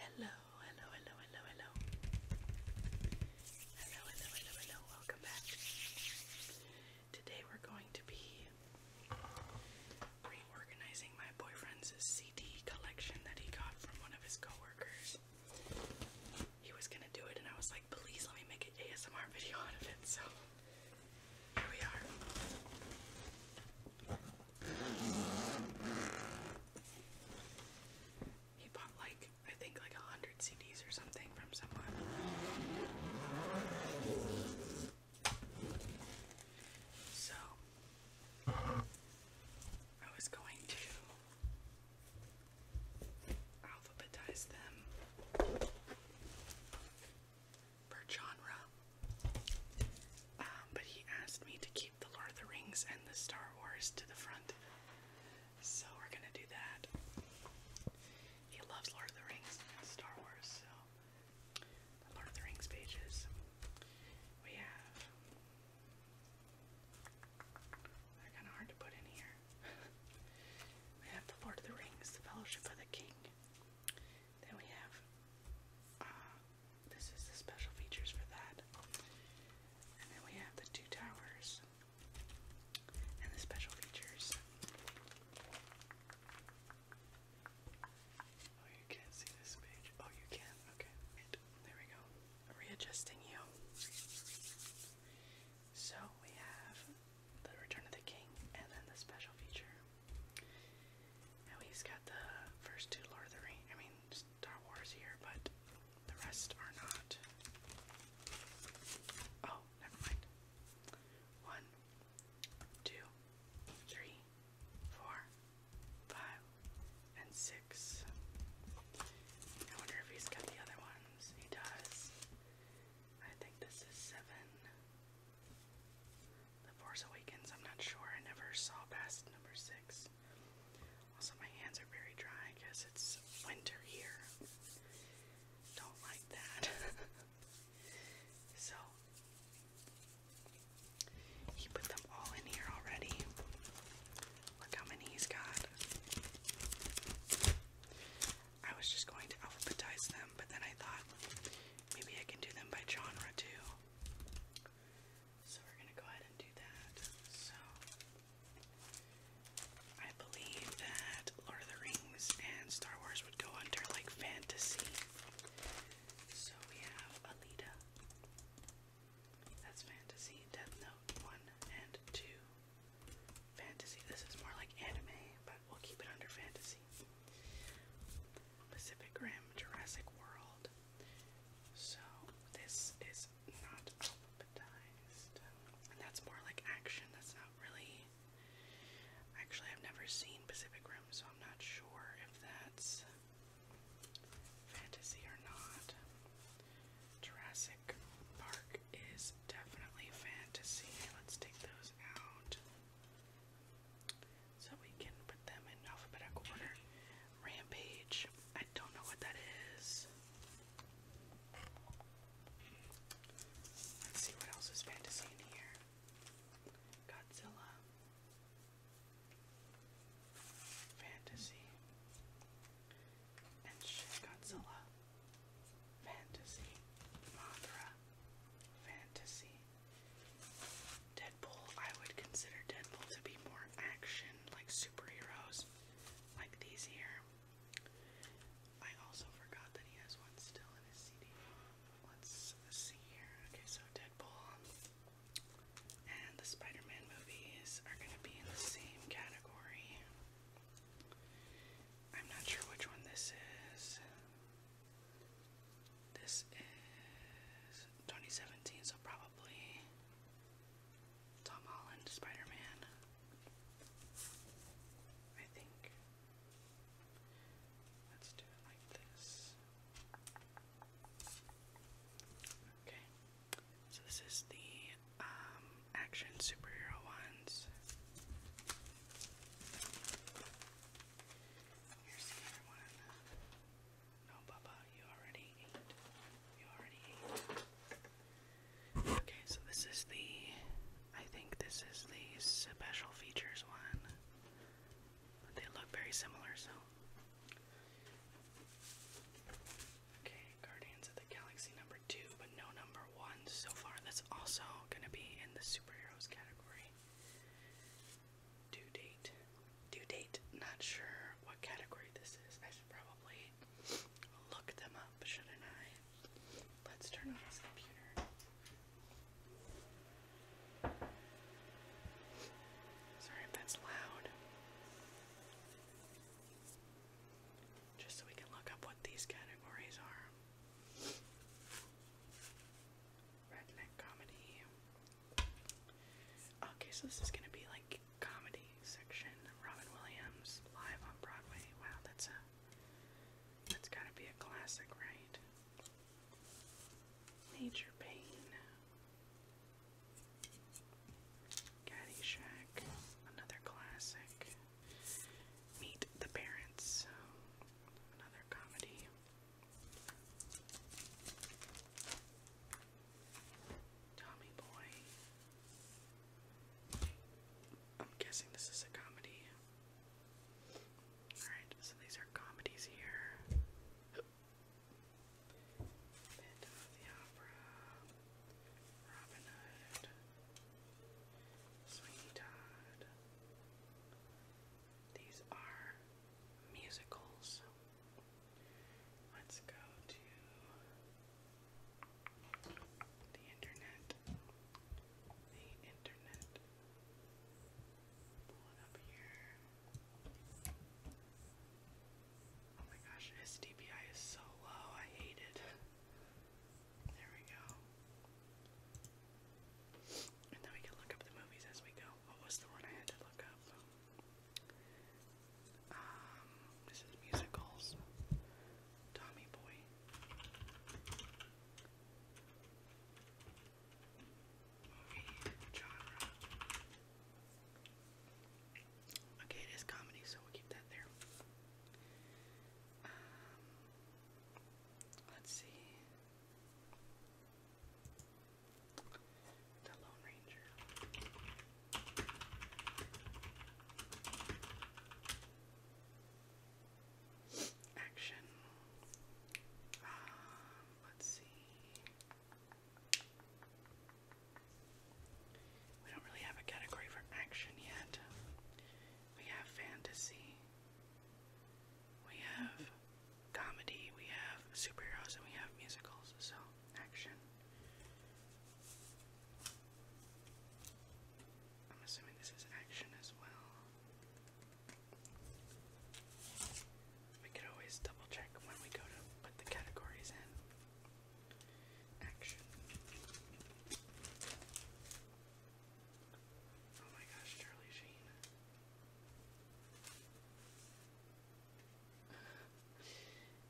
Hello, hello, hello, hello, hello. Hello, hello, hello, hello. Welcome back. Today we're going to be reorganizing my boyfriend's CD collection that he got from one of his coworkers. He was gonna do it, and I was like, please let me make an ASMR video out of it. So here we are. He bought like I think like a hundred CDs or something from someone. So I was going to alphabetize them per genre um, but he asked me to keep the Lord of the Rings and the Star Wars to the front. So we're gonna do that. He loves Lord of the Rings and Star Wars, so Lord of the Rings pages. We have they're kinda hard to put in here. we have the Lord of the Rings, the Fellowship of the King. Then we have uh, this is the special features for that. And then we have the two towers and the special features. Oh, you can't see this page. Oh, you can. Okay. There we go. Readjusting you. So we have the Return of the King and then the special feature. Now he's got the first two Lord of the Rings. I mean, Star Wars here, but the rest are not. Oh, never mind. One, two, three, four, five, and six. I wonder if he's got the other ones. He does. I think this is seven. The Force Awakens, I'm not sure. I never saw past number six. Also, my hands are very dry because it's winter here. Don't like that. so, he put them all in here already. Look how many he's got. I was just going to alphabetize them, but then I thought maybe I can do them by genre too. So we're going to go ahead and do that. So I believe that Lord of the Rings and Star Wars would go under like fantasy. So we have Alita. That's fantasy. Death Note 1 and 2. Fantasy. This is more like anime, but we'll keep it under fantasy. Pacific Rim, Jurassic World. So, this is it's not alphabetized. And that's more like action. That's not really. Actually, I've never seen Pacific Rim, so I'm not sure if that's fantasy or not. Jurassic Park is definitely fantasy. Let's take those out so we can put them in alphabetical order. Rampage. I don't know what that is. Hmm. Let's see what else is fantasy in here. Godzilla. Fantasy. And Shin Godzilla. Fantasy. Mothra. Fantasy. Deadpool. I would consider Deadpool to be more action like superheroes, like these here. I also forgot that he has one still in his CD. Let's see here. Okay, so Deadpool and the Spider-Man movies are gonna be in the same category. I'm not sure which one this is. This is 2017, so probably Tom Holland Spider-Man. I think. Let's do it like this. Okay. So this is the um, action superhero ones. Okay, so this is the. I think this is the special features one. But they look very similar, so. Okay, Guardians of the Galaxy number two, but no number one so far. That's also gonna be in the superheroes category. Due date due date. Not sure what category this is. I should probably look them up, shouldn't I? Let's turn on this computer. Sorry if that's loud. Just so we can look up what these categories are. Redneck comedy. Okay, so this is gonna be like romantic comedy section. Robin Williams live on Broadway. Wow, that's a that's gotta be a classic, right? Major Pain. Caddyshack, another classic. Meet the Parents, another comedy. Tommy Boy. I'm guessing this is a comedy. Alright, so these are comedies here. Phantom of the Opera, Robin Hood, Sweeney Todd. These are musicals. Let's go to the internet. The internet. Pull it up here. Oh my gosh, his DPI is so low. I hate it. There we go. And then we can look up the movies as we go. What was the one I had to look up? Um, this is musicals. Tommy Boy. Movie genre. Okay, it is comedy, so we'll keep that there. Um, let's see the Lone Ranger. Action. Um, let's see. We don't really have a category for action yet. We have fantasy. We have comedy, we have superheroes, and we have musicals, so action. I'm assuming this is action as well. We could always double check when we go to put the categories in. Action. Oh my gosh, Charlie Sheen.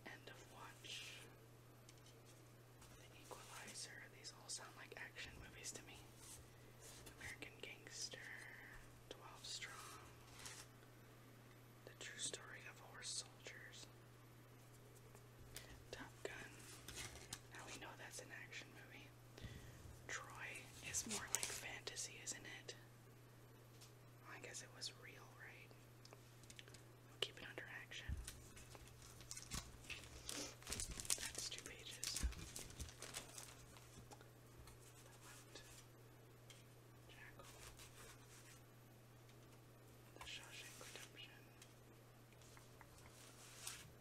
End of Watch, Equalizer. These all sound like action movies to me. American Gangster, 12 Strong, The True Story of Horse Soldiers, Top Gun. Now we know that's an action movie. Troy is more like fantasy, isn't it? I guess it was real, right? keep it under action. That's two pages. Jackal. The Shawshank Redemption.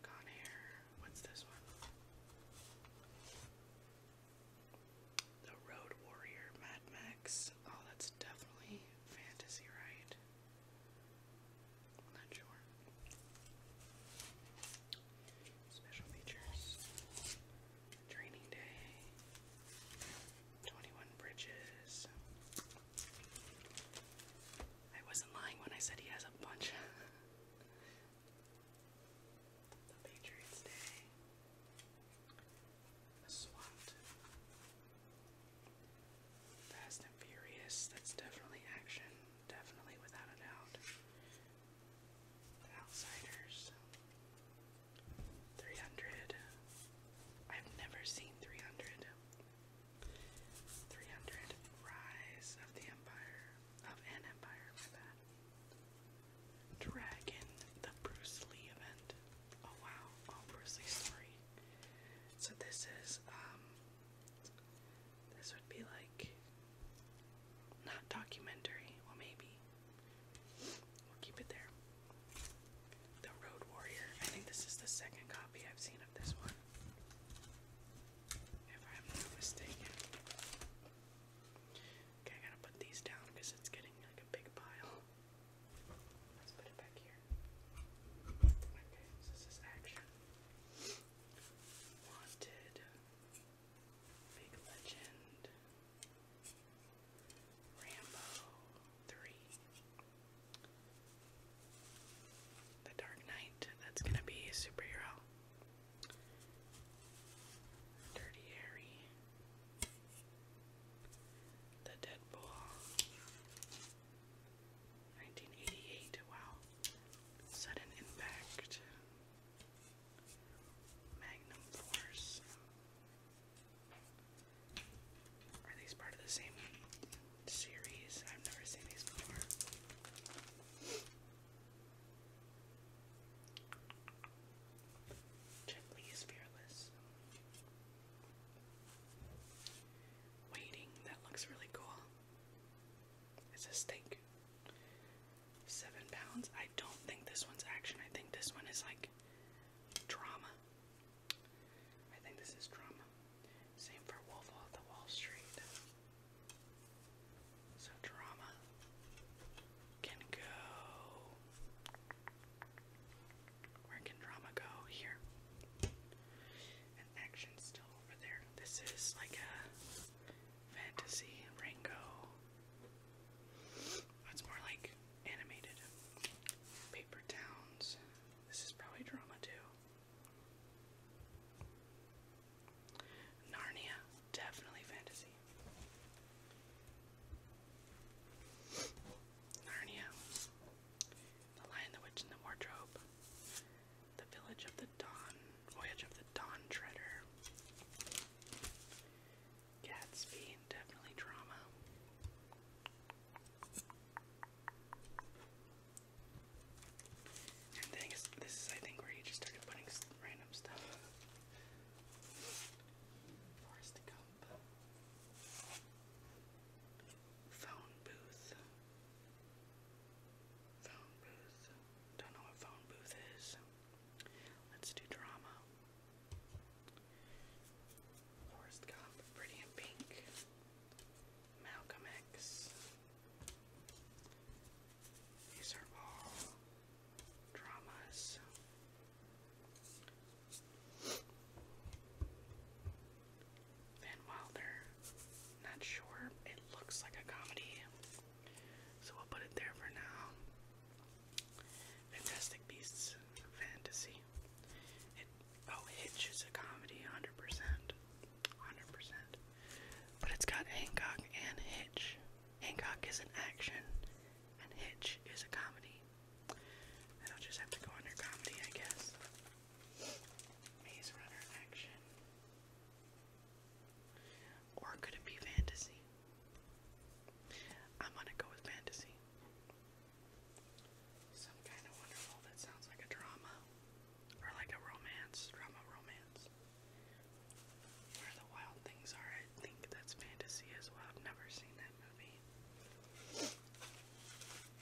Gone Hair. What's this one? The Road Warrior, Mad Max. Oh, that's definitely fantasy, right? I'm not sure. Special features. Training day. 21 bridges. I wasn't lying when I said he has a bunch. the Patriots Day. A SWAT. Fast and Furious, that's definitely action, definitely without a doubt. Outsiders. 300. I've never seen 300. 300. Rise of the Empire. Of an Empire, my bad. Dragon, the Bruce Lee event. Oh wow, oh, Bruce Lee's three. So this is um, this would be like not documentary, well maybe. We'll keep it there. The Road Warrior. I think this is the second copy I've seen of this one. If I'm not mistaken. Okay, I gotta put these down because it's getting like a big pile. Let's put it back here. Okay, this is action. Wanted. Big Legend. Rambo 3. The Dark Knight. That's gonna be a superhero. Dirty Harry. The Deadpool. 1988. Wow. Sudden Impact. Magnum Force. Are these part of the same series? I've never seen these before. Gently is fearless. Waiting, that looks really cool. It's a steak. Seven pounds. I don't think this one's action. I think this one is like drama. I think this is drama. Same for Wolf of the Wall Street. So drama can go where can drama go? Here. And action's still over there. This is like a fantasy Rango. It's more like animated. Paper Towns. This is probably drama too. Narnia, definitely fantasy. Narnia. The Lion, the Witch, and the Wardrobe, The Village of the Dawn, Voyage of the Dawn Treader, Gatsby, definitely drama. And this is, I think, where you just started putting random stuff. Forrest Gump. Phone booth. Phone booth. Don't know what phone booth is. Let's do drama. Forrest Gump, Pretty in Pink, Malcolm X. These are all dramas. And while not sure, it looks like a comedy, so we'll put it there for now. Fantastic Beasts Fantasy. oh, Hitch is a comedy, 100%. 100%. But it's got Hancock and Hitch. Hancock is an action, and Hitch is a comedy. I'll just have to go under comedy, I guess. Maze Runner action. Or could it be fantasy? I'm gonna go with fantasy. Some kind of wonderful that sounds like a drama. Or like a romance, drama romance. Where the Wild Things Are, I think that's fantasy as well. I've never seen that movie.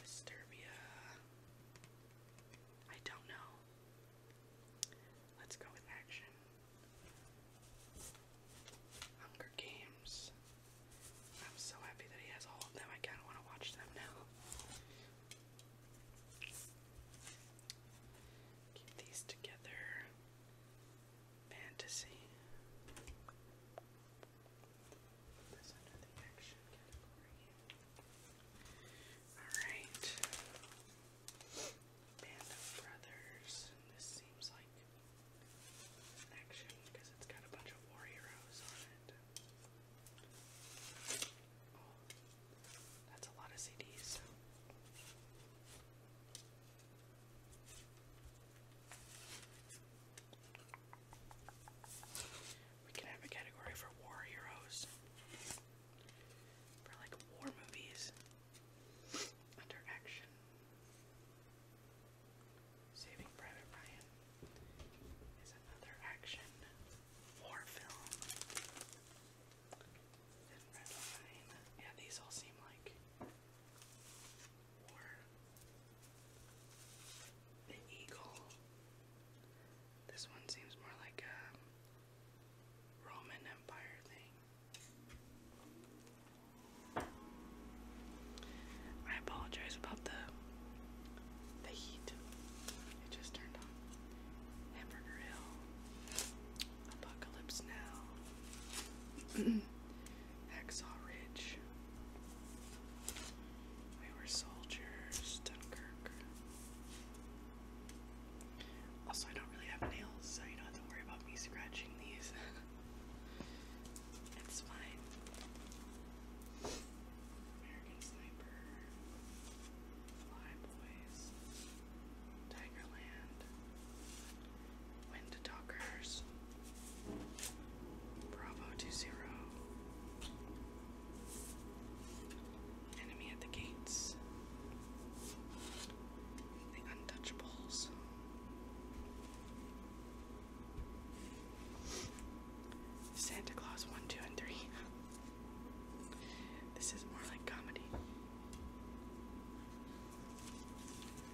Disturbia. I don't know. Let's go with action. Hunger Games. I'm so happy that he has all of them. I kind of want to watch them now. Keep these together. Fantasy. That's Alright. Band of Brothers. This seems like action because it's got a bunch of war heroes on it. Oh, that's a lot of CDs. We can have a category for war heroes. For like war movies. Under action. Saving Private Ryan is another action war film. Yeah, these all seem like war the eagle. This one seems more like a Roman Empire thing. I apologize about the the heat. It just turned on. Hamburger Apocalypse Now. Hacksaw Ridge. We were soldiers, Dunkirk. Also, I don't really have nails, so you don't have to worry about me scratching these. it's fine. American Sniper, Fly Tigerland, Wind Bravo two zero. Enemy at the gates. The untouchables. Santa Claus 1, 2, and 3. This is more like comedy.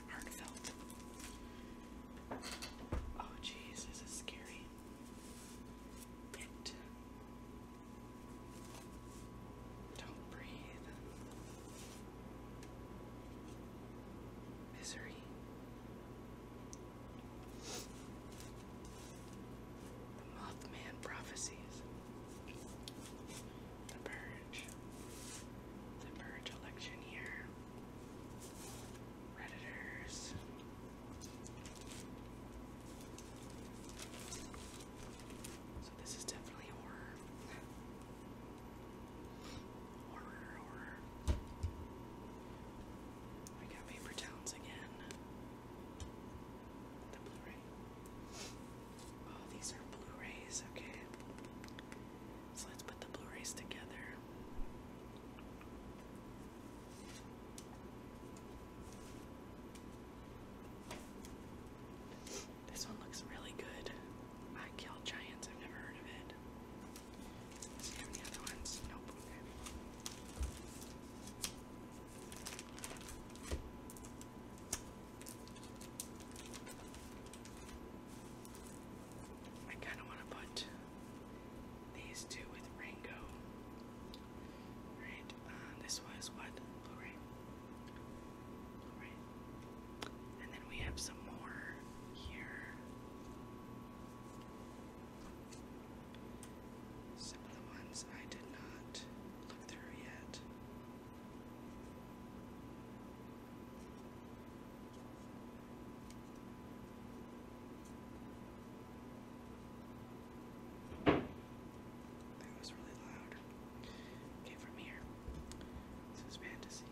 Heartfelt. Oh, jeez, this is scary. Bit. Don't breathe. Misery. Mothman Prophecies. The Purge. The Purge election year. Redditors. So this is definitely horror. horror, horror. We got paper towns again. The Blu-ray. Oh, these are Blu-rays, okay. So let's put the Blu-rays together. This one looks really good. I kill giants. I've never heard of it. Does other ones? Nope. I kind of want to put these two with Rango. Right, uh, this was what? Blu-ray. Blu-ray. And then we have some more here. Some of the ones I did not look through yet. That was really loud. Okay, from here. This is fantasy.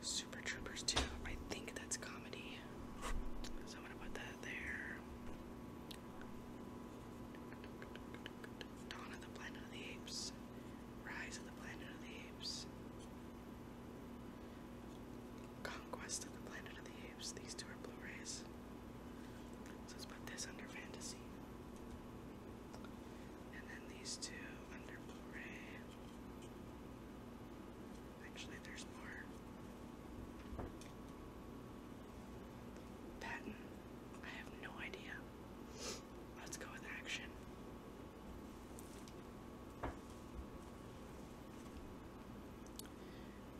Super Troopers 2. I think that's comedy. So I'm gonna put that there. Dawn of the Planet of the Apes. Rise of the Planet of the Apes. Conquest of the Planet of the Apes. These two are Blu-rays. let's put this under fantasy. And then these two under Blu-ray. Actually, there's more. Patton. I have no idea. Let's go with action.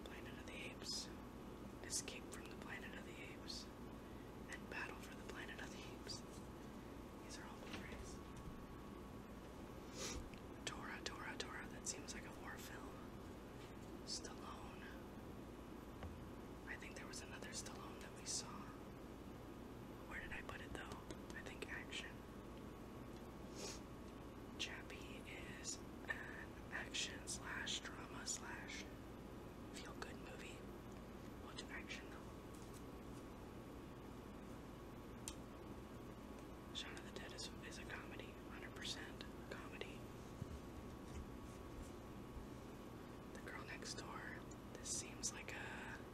Planet of the Apes. Escape from the Planet of the Apes. And Battle for the Planet of the Apes. These are all movies. Tora, Tora, Tora. That seems like a war film. Stallone. I think there was another Stallone that we saw. Where did I put it though? I think, Action. Chappie is an action slash drama slash feel good movie. What's action though? Shaun of the Dead is, is a comedy, 100% comedy. The Girl Next Door, this seems like a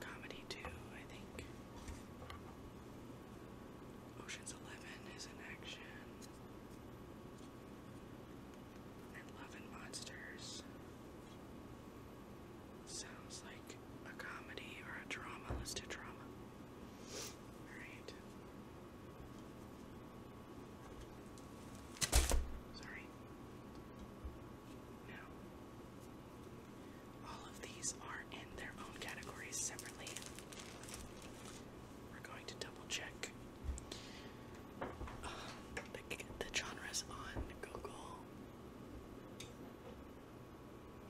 Comedy 2, I think. Ocean's 11 is in action. And Love and Monsters sounds like a comedy or a drama. Let's do drama. Alright. Sorry. Now, all of these are in their own categories separately. We're going to double check um, the, the genres on Google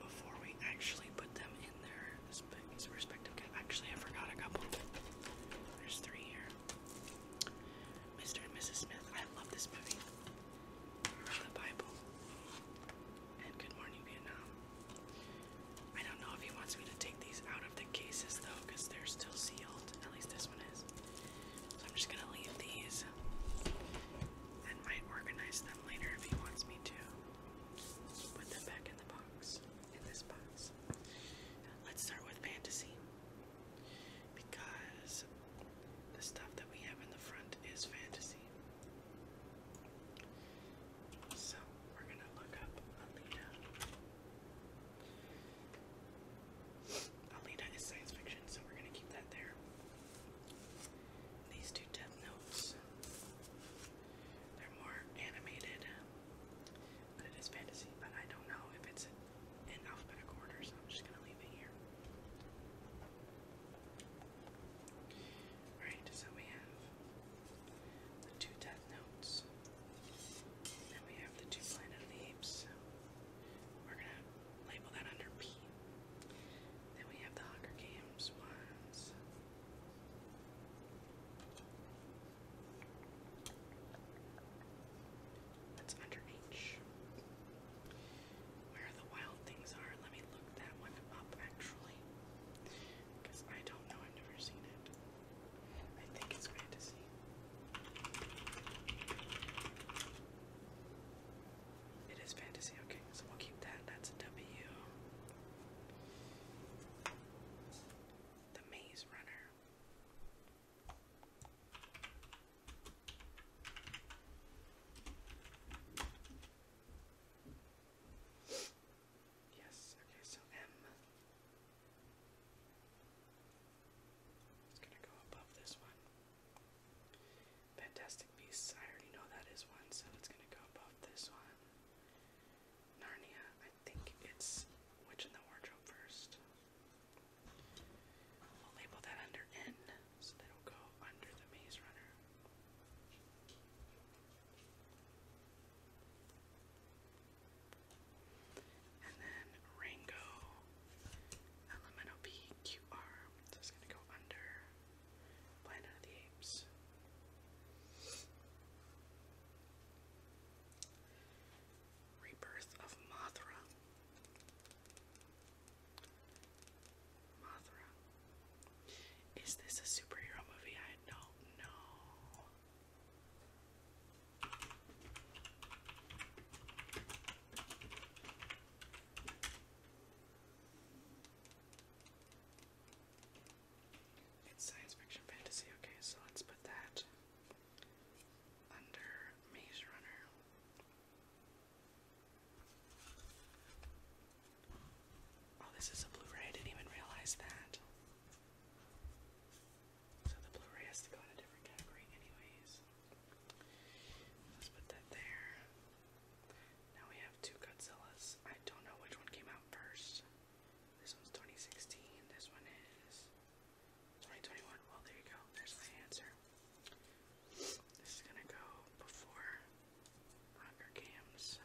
before we actually put them in their respective categories. Actually, I forgot a couple. There's three here. Mr. and Mrs. Smith. I love this movie the Bible. And Good Morning Vietnam. I don't know if he wants me to take these out of the cases though, they're still sealed. At least this one is. So I'm just gonna leave these and might organize them later if he wants me to. Put them back in the box. In this box. Let's start with fantasy. Because the stuff that we have in the front is fantasy. So we're gonna look up Alita. Alita is science fiction, so we're gonna keep that there. These two death notes. They're more animated, but it is fantasy. But I don't know if it's in alphabetical order, so I'm just gonna leave it here. Alright, so we have the two Death Notes, then we have the two Planet of we're gonna label that under P. Then we have the Hunger Games ones. That's under H where the wild things are. Let me look that one up actually. Because I don't know, I've never seen it. I think it's fantasy. It is fantasy, okay, so we'll keep that. That's a W. The Maze Runner. Yes, okay, so M is going to go above this one. Fantastic Beasts, I already know that is one, so it's going to go above this one. Narnia, I think it's Witch in the Wardrobe first. We'll label that under N, so that'll go under the Maze Runner. And then Rango LMNOPQR, so it's going to go under Planet of the Apes. Rebirth of Mothra. Mothra. Is this a superhero movie? I don't know. It's science fiction fantasy, okay, so let's put that under Maze Runner. Oh, this is a Blu-ray. I didn't even realize that. So the Blu-ray has to go in a different category anyways. Let's put that there. Now we have two Godzillas. I don't know which one came out first. This one's 2016. This one is 2021. Well, there you go. There's my answer. This is gonna go before Hunger Games.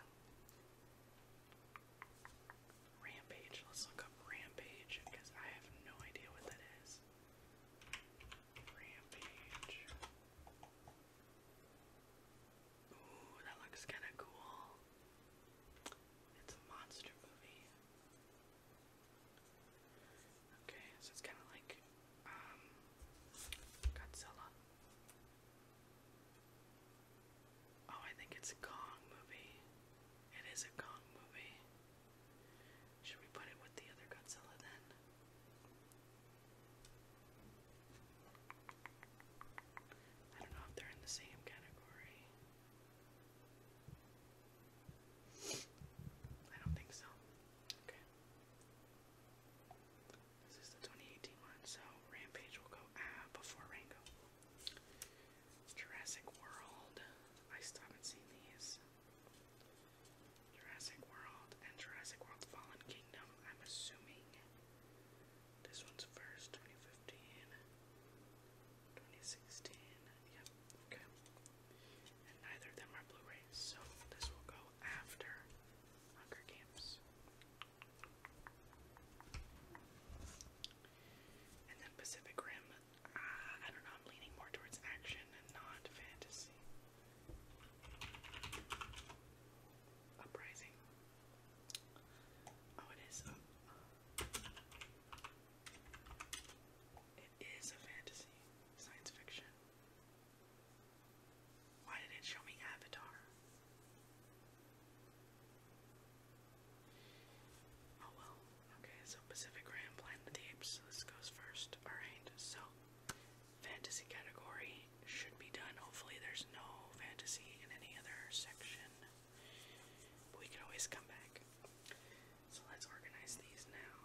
Rampage. Let's look up Rampage because I have no idea what that is. Rampage. Ooh, that looks kind of cool. It's a monster movie. Okay, so it's kind of like um, Godzilla. Oh, I think it's a Kong movie. It is a Kong movie. Should we put it with the other Godzilla then? I don't know if they're in the same category. I don't think so. Okay. This is the 2018 one, so Rampage will go uh, before Rango. Jurassic World. I still haven't seen these. Jurassic World and Jurassic World Fallen Kingdom, I'm assuming. This one's first, 2015. 2016. Yep, okay and neither of them are Blu-rays, so this will go after Hunger Games. And then Pacific Rim, uh, I don't know, I'm leaning more towards action and not fantasy. Uprising. Oh, it is. It is a fantasy, science fiction. Why did it show me Avatar? Oh well. Okay, so Pacific Rim, Planet of the Apes. This goes first. Alright, so fantasy category should be done. Hopefully there's no fantasy in any other section. we can always come back. So let's organize these now.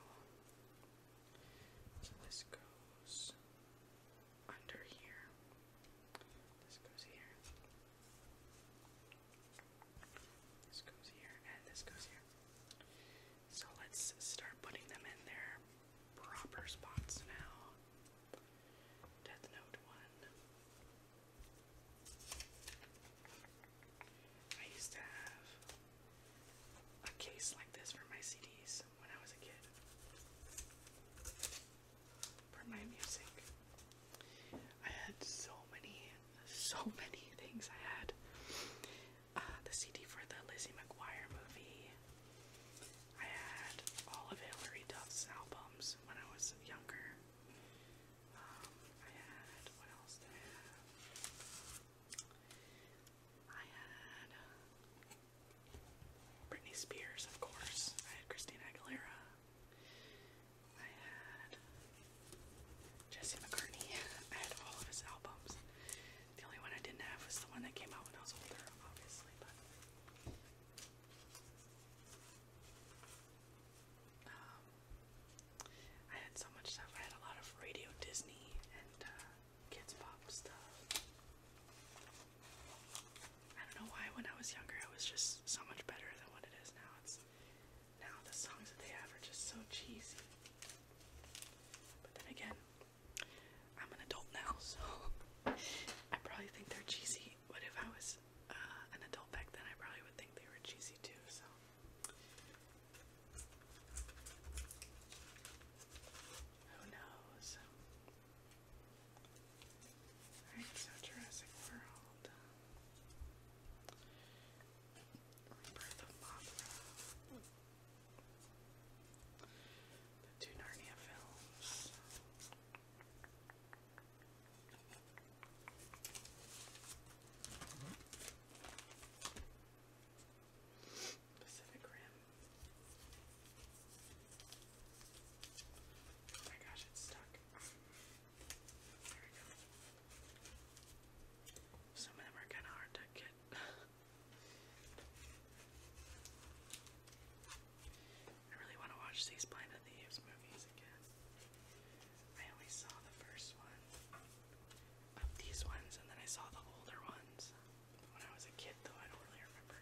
So this goes under here. This goes here. This goes here, and this goes here. So let's start putting them in their proper spots now. Death Note 1. I used to have a case like this for my CDs when I was a kid. For my music. I had so many, so many things I had. Uh, the CD for the Lizzie McGuire movie. I had all of Hillary Duff's albums when I was younger. Um, I had, what else did have? I had Britney Spears, of course. I had Christina Aguilera. I had Jesse McCartney. I had all of his albums. The only one I didn't have was the one that came out when I was older, obviously, but um, I had so much stuff. I had a lot of Radio Disney and uh, kids pop stuff. I don't know why when I was younger I was just so much better than what it is now. It's now the songs that they have are just so cheesy. But then again, I'm an adult now, so I probably think they're cheesy. But if I was uh, an adult back then, I probably would think they were cheesy too. So who knows? Alright, so World. Rebirth of Mothra. The two Narnia films. Pacific Rim. Oh my gosh, it's stuck. There we go. Some of them are kind of hard to get. I really want to watch these Planet of the movies again. I only saw the first one these ones, and then I saw the older ones when I was a kid, though I don't really remember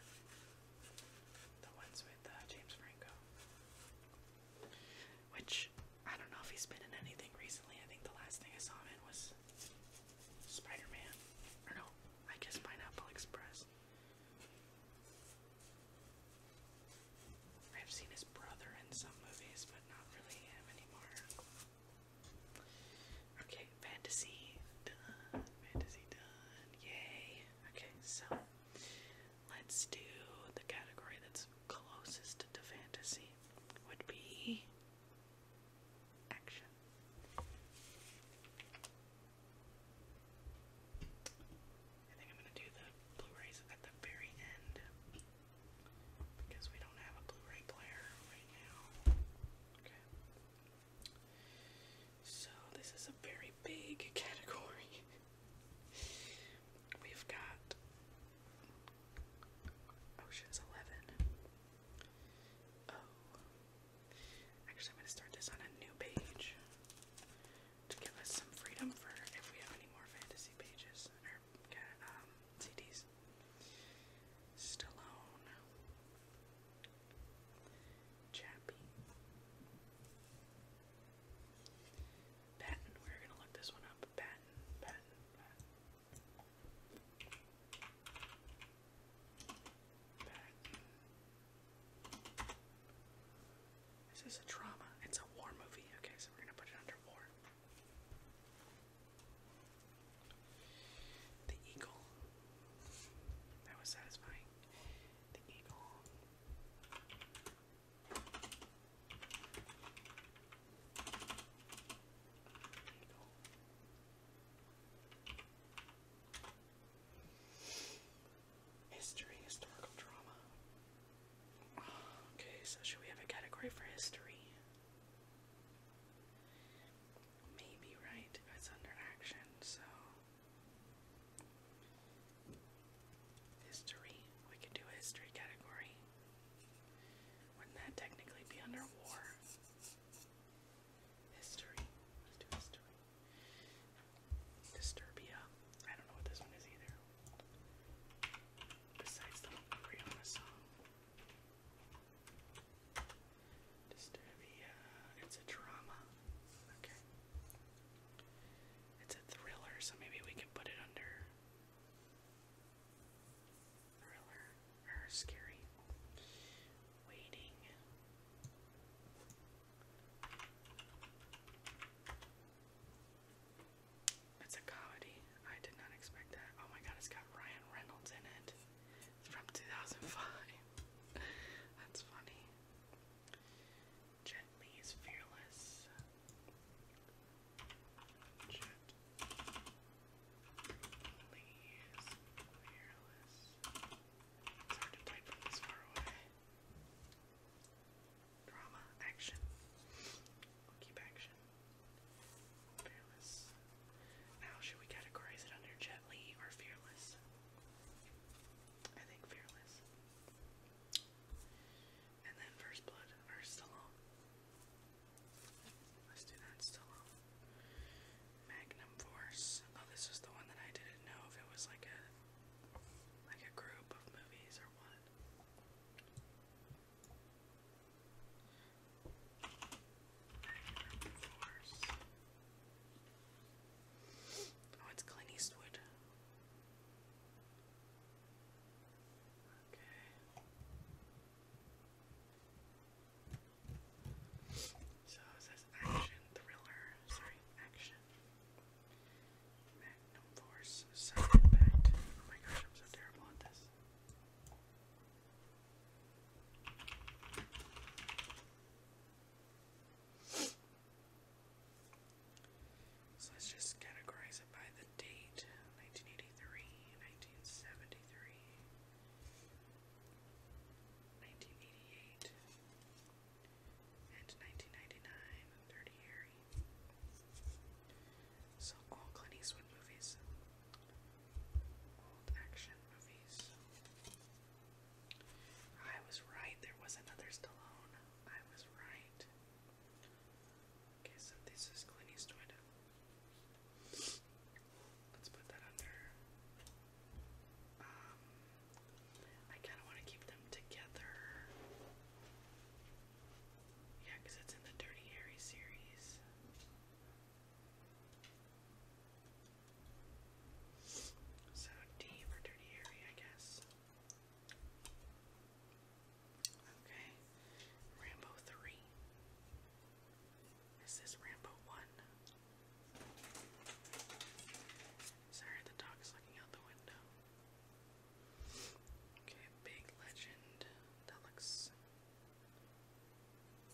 the ones with uh, James Franco. Which I don't know if he's been in anything recently. I think the last thing I saw him in was Spider-Man, or no, I guess Pineapple Express. I've seen his brother in some movies, but not really him anymore. Okay, fantasy done. Fantasy done. Yay. Okay, so let's do the category that's closest to fantasy would be action. I think I'm going to do the Blu-rays at the very end because we don't have a Blu-ray player right now. Okay. So, this is a very big category. We've got Ocean's Eleven. Oh. Actually, I'm going to start this on a new page to give us some freedom for if we have any more fantasy pages or CDs. Stallone, Chappie, Patton. We're gonna look this one up. Patton, Patton, Patton. Patton. This is a drama. It's a war movie. Okay, so we're gonna put it under war. The eagle. That was satisfying. The eagle. History, historical drama. Okay, so should we have a category for history? maybe right it's under action so history we could do a history category wouldn't that technically be under war history history disturbia I don't know what this one is either besides the hungry on the song it's a drama. Okay. It's a thriller, so maybe we can put it under thriller or scary. Waiting. It's a comedy. I did not expect that. Oh my god, it's got Ryan Reynolds in it from 2005. That's funny. Jet is fearless. Jet is fearless. It's hard to type from this far away. Drama, action. keep action. Fearless. How should we categorize it under gently or fearless? I think fearless. And then First Blood or Stallone. Let's do that, Stallone. Magnum Force. Oh, this was the one that I didn't know if it was like a like a group of movies or what. Oh, it's Clint Eastwood. Okay. So it says action thriller. Sorry, action. Magnum Force. impact. Oh my gosh, I'm so terrible at this. So let's just categorize it by the date 1983, 1973, 1988, and 1999, Dirty Harry. So, all Clint Eastwood movies, old action movies. I was right. There was another Stallone. I was right. Okay, so this is Clint Eastwood. Let's put that under. Um, I kind of want to keep them together. Yeah, because it's in the Dirty Harry series. So deep or dirty area, I guess. Okay. Rambo 3. This is Rambo 1. Sorry, the dog's looking out the window. Okay, big legend. That looks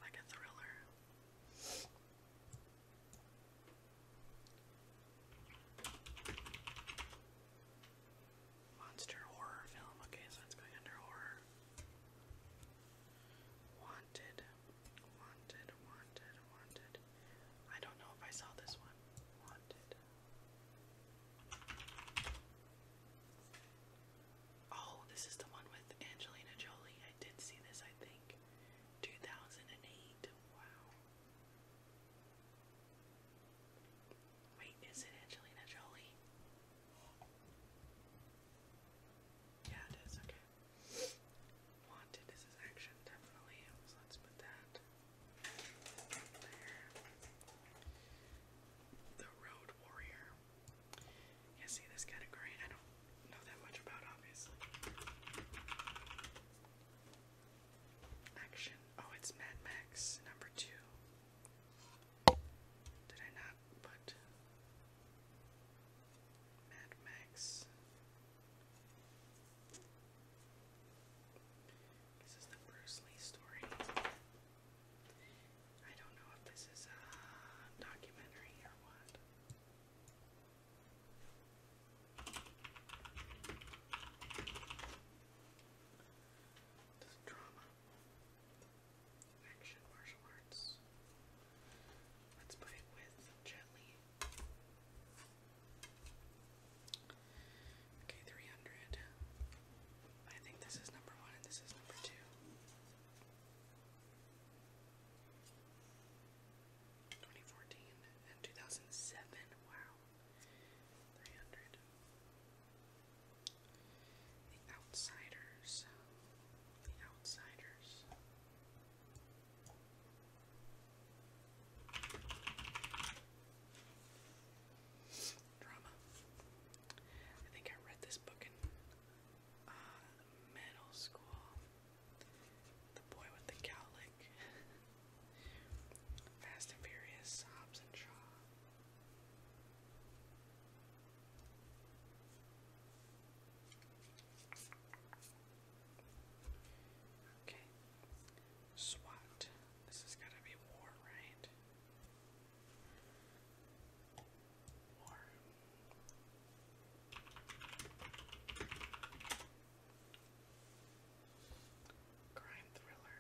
like a thriller. Monster horror film. Okay, so it's going under horror. Wanted, wanted, wanted, wanted. I don't know if I saw this one. Wanted. Oh, this is the one with Angelina Jolie. I did see this, I think. 2008. Wow. Wait, is it Angelina Jolie? Yeah, it is. Okay. Wanted. This is action, definitely. let's put that there. The Road Warrior. Yeah, see this category, I don't know that much about, obviously. Action. Oh, it's Mad Max number two. Did I not put Mad Max? This is the Bruce Lee story. I don't know if this is a documentary or what. Just drama. Action martial arts. Let's put it with gently. Okay, 300. I think this is number one and this is number two. 2014 and 2007. Wow. The Outsiders. The Outsiders. Drama. I think I read this book in uh, middle school. The Boy with the Cowlick, Fast and Furious, Hobbs and Shaw. Okay. SWAT. This has got to be war, right? War. Crime thriller.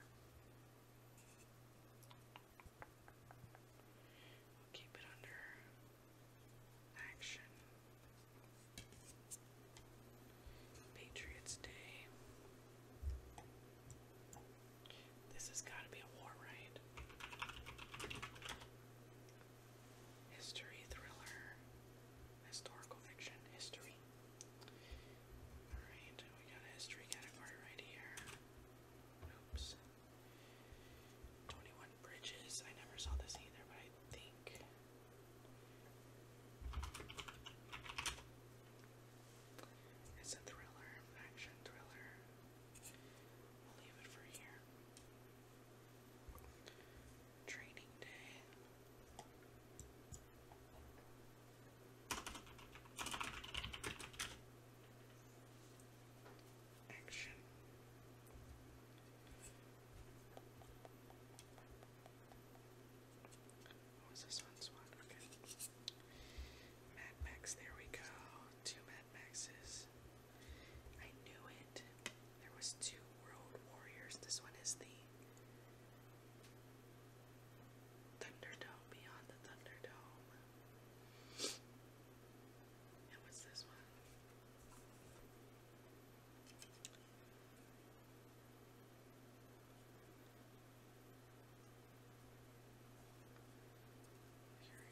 keep it under action. Patriots Day. This has got to be a war, right? History, thriller, historical fiction, history. Alright, we got a history category right here. Oops. 21 Bridges. I never saw this either, but I think. It's a thriller, action thriller. We'll leave it for here. Training day. Action. What was this one's one? Okay. Mad Max, there we go. Two Mad Maxes. I knew it. There was two World Warriors. This one is the Thunderdome, Beyond the Thunderdome. And what's this one?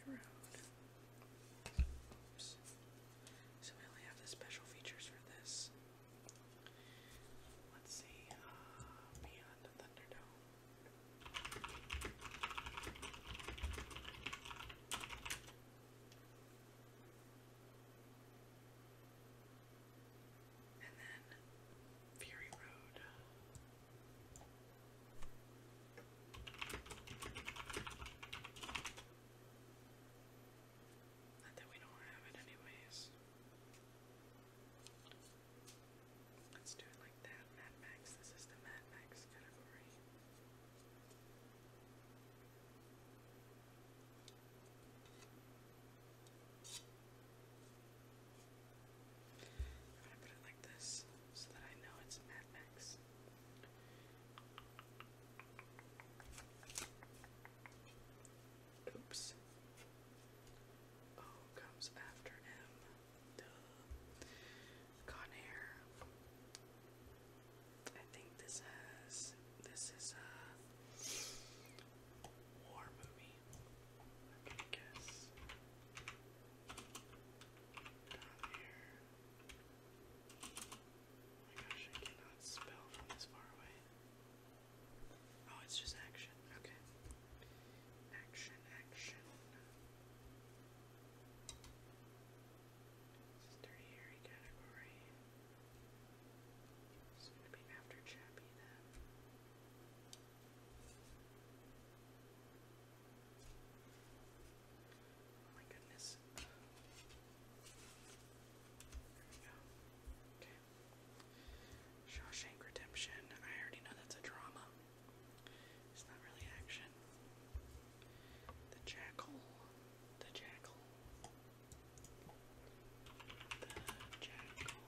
Fury Road. Oops. So we only have the special features for this. Let's see, uh, Beyond the Thunderdome. And then Fury Road. Not that we don't have it anyways. Let's do it like that, Mad Max. This is the Mad Max category. i put it like this so that I know it's Mad Max. Oops. O oh, comes after M. Duh. Conair. I think this has. This is a war movie. I can guess. Down here. Oh, it's just action. Okay. Action, action. This is Dirty category. It's going to be after Chappie then. Oh my goodness. There we go. Okay. Shawshank Redemption. I already know that's a drama. It's not really action. The Jackal. The Jackal. The Jackal.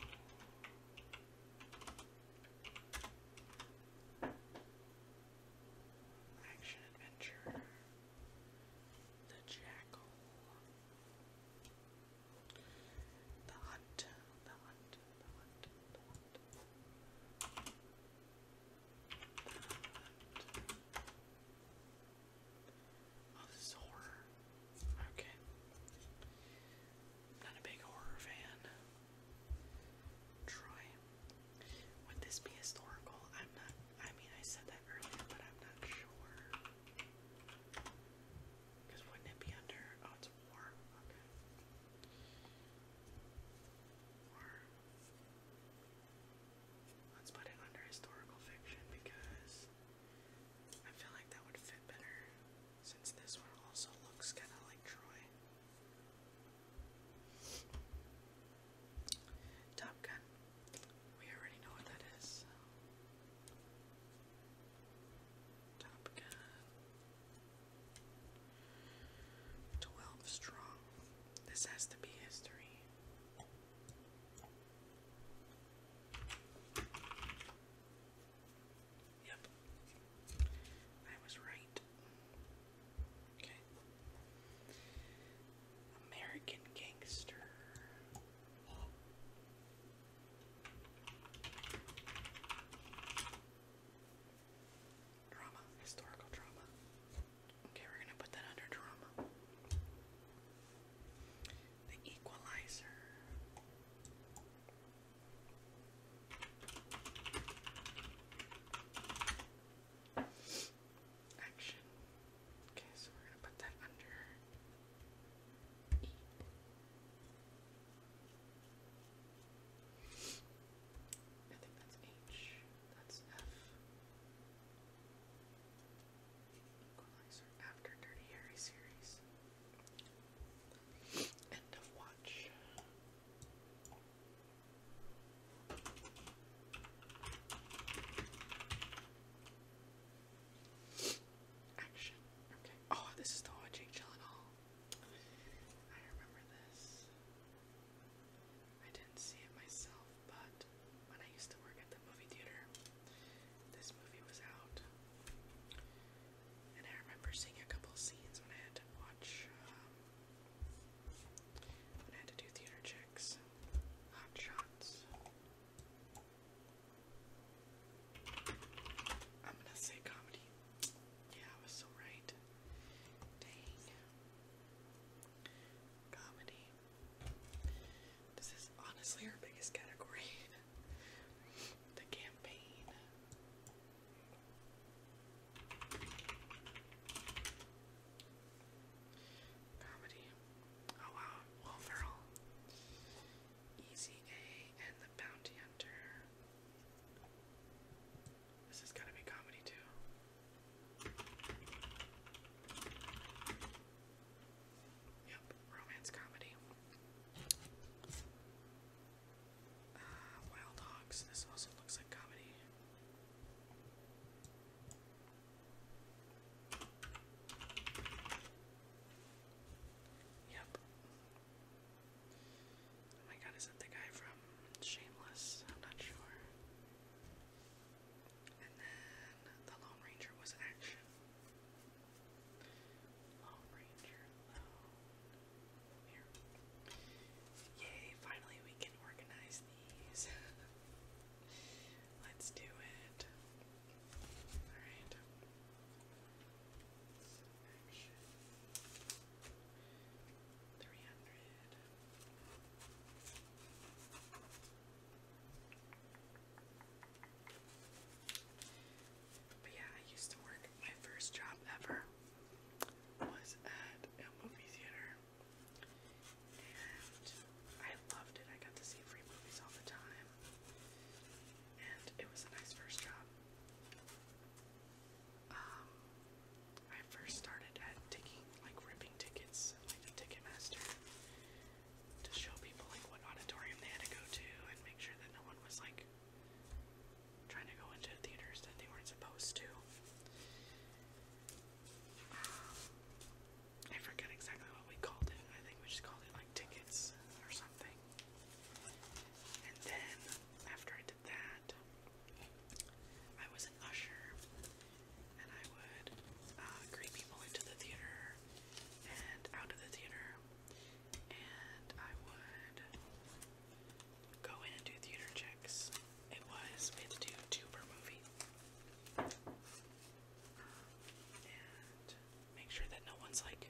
Action adventure the jackal, the hunt, the hunt, the hunt, the hunt, oh, the Okay. Not a big horror fan. Try. Would this be historical? I'm not I mean, I said that earlier, but I'm not sure. Because wouldn't it be under. Oh, it's warm. Let's put it under historical fiction because I feel like that would fit better since this one also looks kind of like Troy. Top Gun. We already know what that is. Top Gun. Twelve strong. This has to be history. Yep. I was right. Okay. American Gangster. Drama, historical drama. Okay, we're gonna put that under drama. The Equalizer action. Okay, so we're gonna put that under E. I think that's H. That's F. Equalizer after Dirty Harry series. End of watch. Action. Okay. Oh, this is the one with Jake Gyllenhaal. I remember this. I didn't see it myself, but when I used to work at the movie theater, this movie was out. And I remember seeing a couple scenes when I had to watch, um, when I had to do theater checks. Hot Shots. I'm gonna say comedy. Yeah, I was so right. Dang. Comedy. This is honestly our biggest category. the campaign. Comedy. Oh wow, Will Ferrell. Easy A and the Bounty Hunter. This is gonna be comedy too. Yep, romance comedy. Uh, Wild Hogs. This also looks like comedy. Yep. Oh my god, is that the guy from Shameless? I'm not sure. And then the Lone Ranger was action. Lone Ranger, Lone. Here. Yay, finally we can organize these. Let's do it. Alright. Action. yeah, I used to work. My first job ever was at a movie theater and I loved it. I got to see free movies all the time, and it was a nice first job. Um, I first started at taking, like, ripping tickets, like Ticketmaster, to show people, like, what auditorium they had to go to and make sure that no one was, like, trying to go into theaters that they weren't supposed to. Um, I forget exactly what we called it. I think we just called it like tickets or something. And then after I did that, I was an usher and I would uh, greet people into the theater and out of the theater. And I would go in and do theater checks. It was, we to do two per movie make sure that no one's like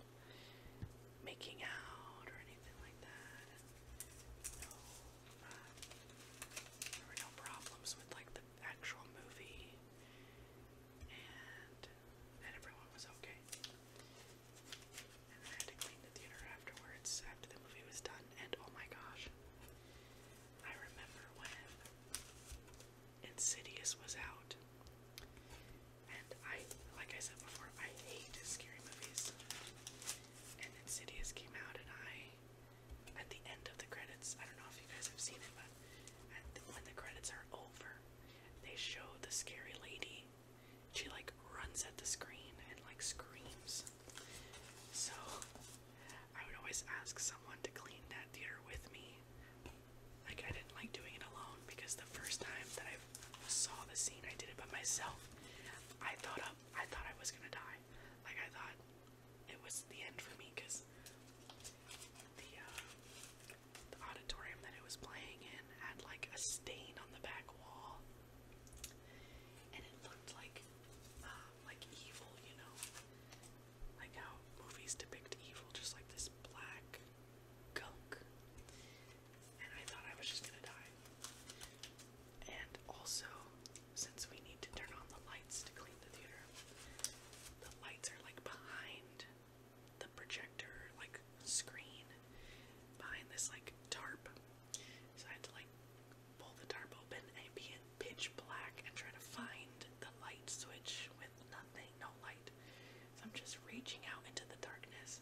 making out or anything like that. Uh, there were no problems with like the actual movie, and and everyone was okay. And then I had to clean the theater afterwards after the movie was done. And oh my gosh, I remember when Insidious was out. And I, like I said before, I hate scary movies. And Insidious came out, and I, at the end of the credits, I don't know if you guys have seen it, but when the credits are over, they show the scary lady. She like runs at the screen and like screams. So I would always ask someone to clean that theater with me like I didn't like doing it alone because the first time that I saw the scene, I did it by myself. I thought up, uh, I thought I was gonna die. Like I thought it was the end for me because the uh, the auditorium that it was playing in had like a stain on the back wall, and it looked like uh, like evil, you know like how movies depict evil just like this black gunk. And I thought I was just gonna die. And also, since we need to turn on the lights to clean the theater, the lights are like behind the projector, like screen, behind this like tarp. So I had to like pull the tarp open and be in pitch black and try to find the light switch with none no light. So I'm just reaching out into the darkness.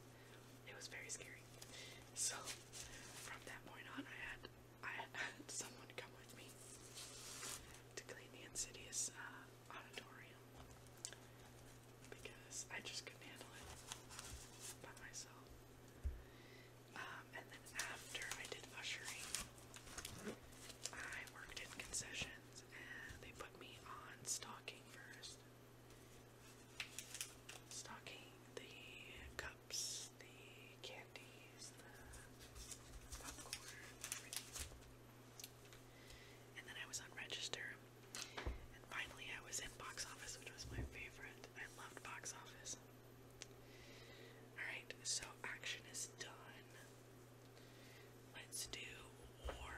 It was very scary. So from that point on, I had I had someone come with me to clean the insidious uh, auditorium because I just couldn't handle it by myself. Um, and then after I did ushering, I worked in concessions they put me on stocking first. Stocking the cups, the candies, the popcorn, And then I was on register. And finally I was in box office, which was my favorite. I loved box office. Alright, so action is done. Let's do war.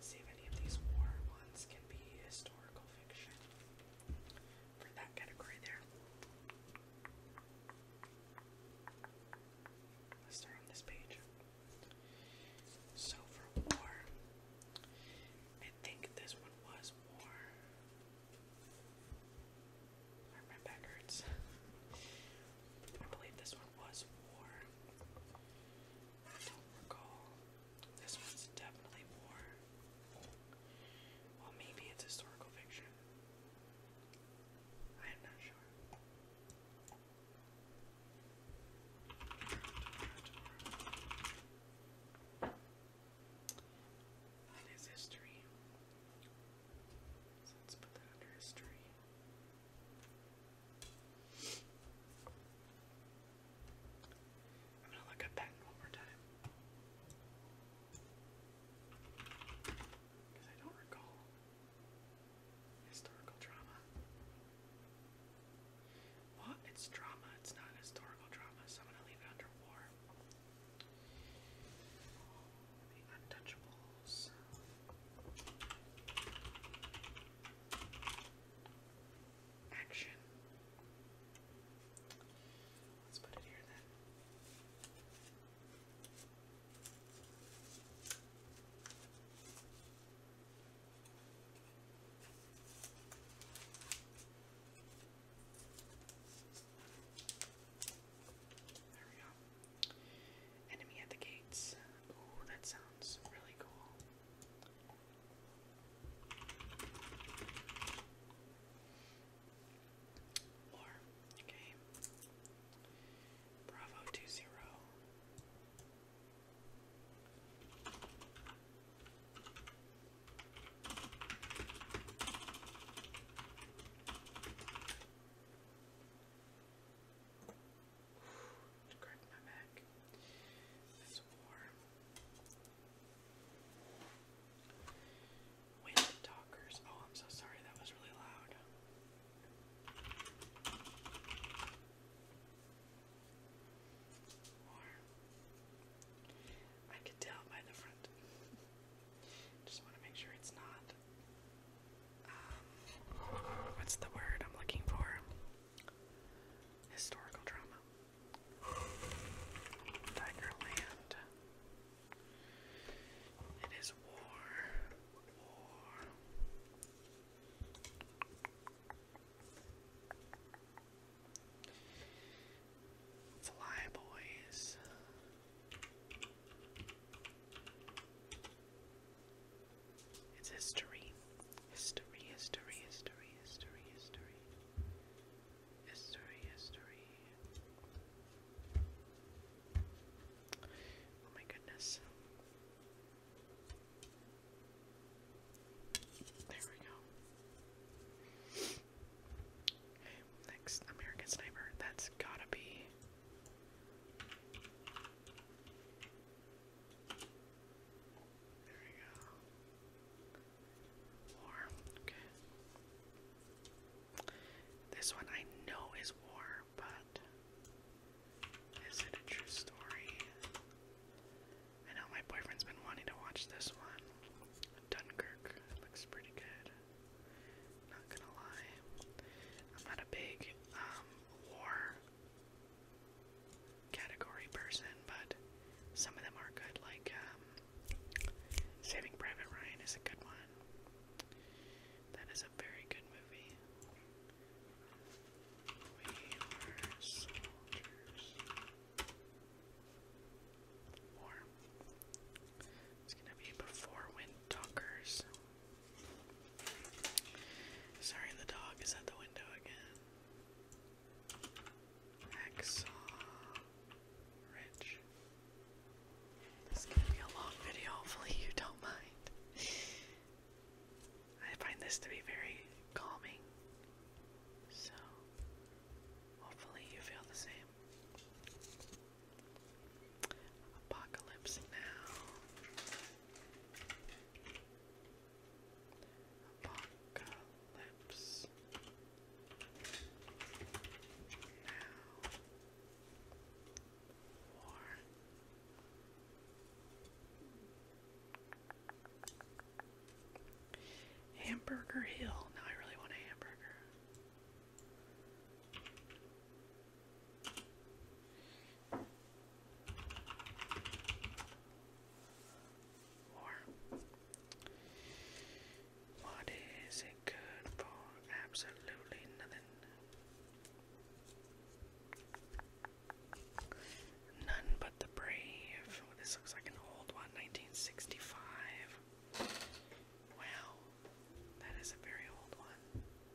see if any of these war ones can be historical fiction for that category there. Let's start on this page. So for war, I think this one was war. My back hurts. I believe this one was war. I don't recall. This one's definitely war. Well, maybe it's historical fiction. I am not sure. That is history let's put that under history. I'm gonna look at patent one more time. Because I don't recall historical drama. Well, it's drama, it's not historical drama, so I'm gonna leave it under war. The Untouchables. Action. Let's put it here then. Enemy at the gates. Ooh, that sounds really cool. Or, okay. Bravo 2 it cracked my back. That's for wind Oh, I'm so sorry. That was really loud. I could tell by the front. Just want to make sure it's not um, what's the word I'm looking for? Historical drama. Tigerland. It is war. War. Fly it's history. History, history, history, history, history. History, history. Oh my goodness. There we go. Okay, next American Sniper. That's gotta be this one I know is war, but is it a true story? I know my boyfriend's been wanting to watch this one. Dunkirk looks pretty good. Not gonna lie. I'm not a big um war category person, but some of them are good, like um Saving Private Ryan is a good one. That is a very good movie. We are soldiers. War. It's gonna be before Wind Talkers. Sorry, the dog is at the window again. Hacksaw Ridge. This is gonna be a long video, hopefully you don't mind. I find this to be very calming. So hopefully you feel the same. Apocalypse Now. Apocalypse Now. War. Hamburger Hill. Now I really want a hamburger what is it good for? Absolutely nothing. None but the brave. Oh, this looks like an old one, 1965. Wow, that is a very old one.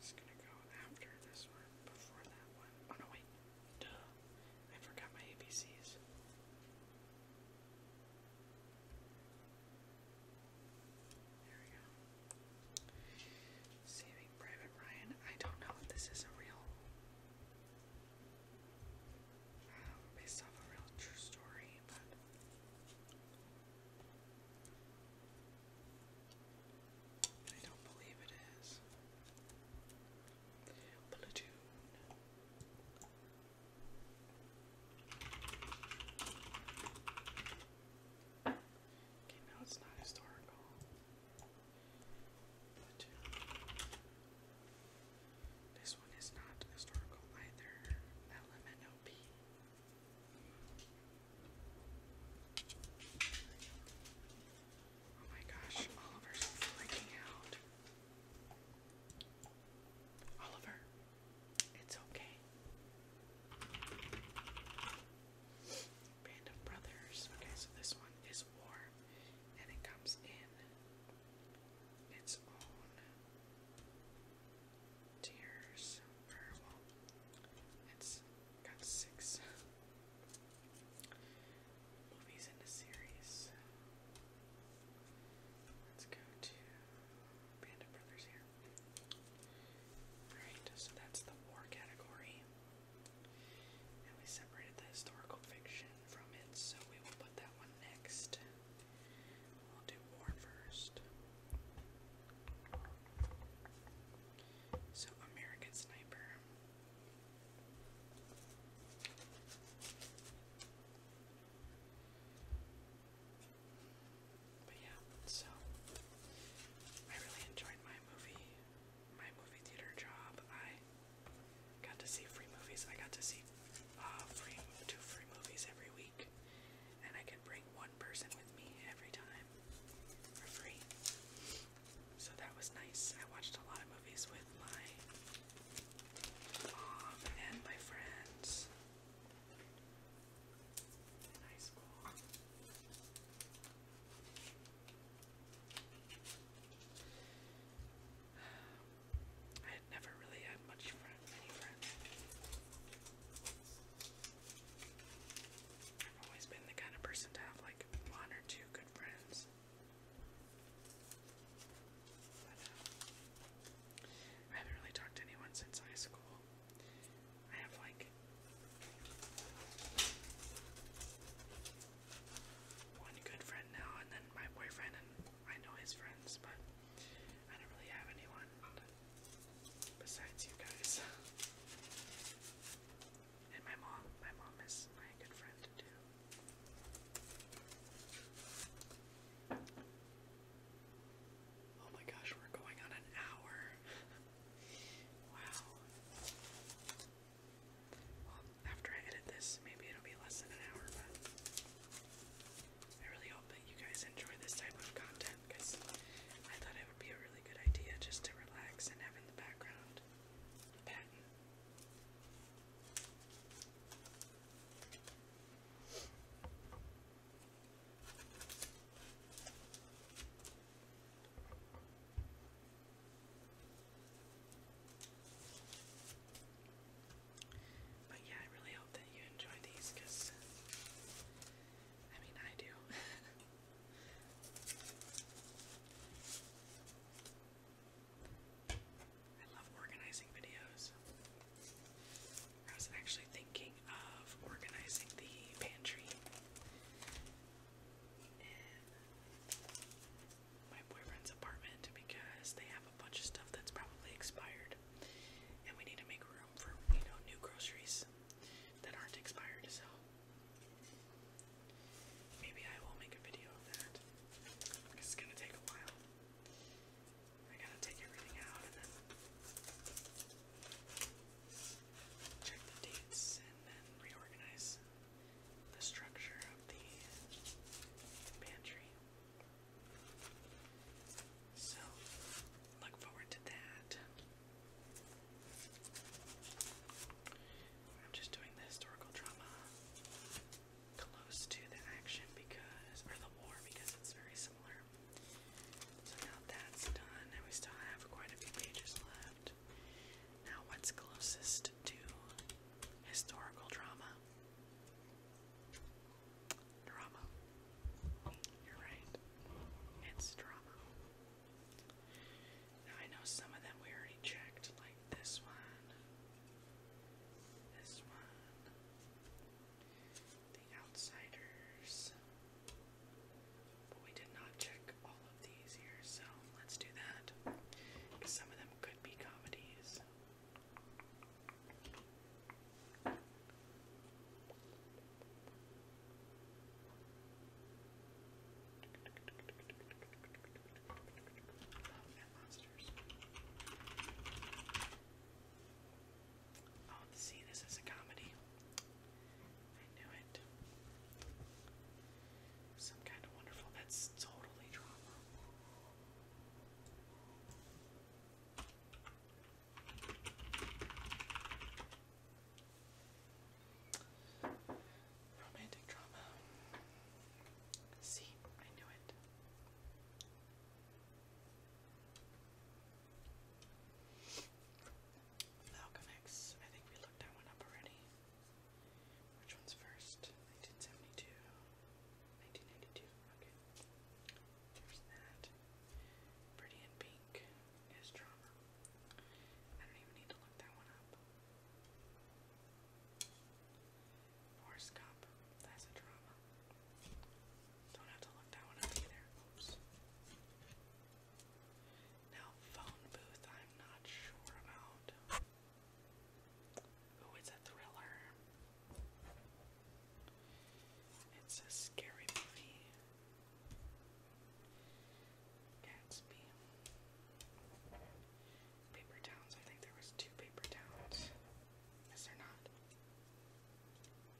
Just gonna go after this one, before that one. Oh no, wait. Duh. I forgot my ABCs. There we go. Saving Private Ryan. I don't know if this is real based off a real true story, but I don't believe it is. Platoon. Okay, now it's not historical. Platoon. This one is not historical either. LMNOP. Oh my gosh, Oliver's freaking out. Oliver, it's okay. Band of Brothers. Okay, so this one is war, and it comes in its own tiers. it's got six movies in a series. Let's go to Band Brothers here. Alright, so that's the war category. And we separated the historical fiction from it, so we will put that one next. I'll do war first. So, American Sniper. But yeah, so I really enjoyed my movie, my movie theater job. I Got to see free movies. I got to see uh, two free movies every week, and I could bring one person with me every time for free. So that was nice. I watched a lot of movies with my mom and my friends in high school. I had never really had much friends, I've always been the kind of person to have like one or two good friends. Uh, I haven't really talked to anyone since high school. I have like one good friend now, and then my boyfriend I know his friends, but I don't really have anyone besides you guys. And my mom. My mom is my good friend too. Oh my gosh, we're going on an hour. wow. after I edit this, maybe it'll be less than an hour, I really hope that you guys enjoy this type of content because I thought it would be a really good idea just to relax and have in the background pattern. But yeah, I really hope that you enjoy these because I mean, I do. I love organizing videos. I was actually thinking of organizing the pantry. And my boyfriend's apartment because they have a bunch of stuff that's probably expired. And we need to make room for, you know, new groceries that aren't expired, so maybe I will make a video of that. It's gonna take a while. I gotta take everything out and then check the dates and then reorganize the structure of the pantry. So look forward to that. I'm just doing the historical drama close to the action because, or the war because it's very similar. So now that's done, and we still have quite a few pages left. Now, what's closest to historical drama? Drama. You're right. It's drama. I know some of them we already checked, like this one, this one, The Outsiders. But we did not check all of these here, so let's do that. Some of them could be comedies and monsters. Oh, see, this is a comedy. I knew it. Some kind of wonderful. That's totally drama. Romantic drama. See, I knew it. Falcon X. I think we looked that one up already. Which one's first? 1972. 1992. Okay. There's that. Pretty in Pink is drama. I don't even need to look that one up. Forrest That's a drama. Don't have to look that one up either. Oops. Now, Phone Booth, I'm not sure about. Oh, it's a thriller. It's a scary movie. Gatsby. Paper Towns. I think there was two Paper Towns. Is there not?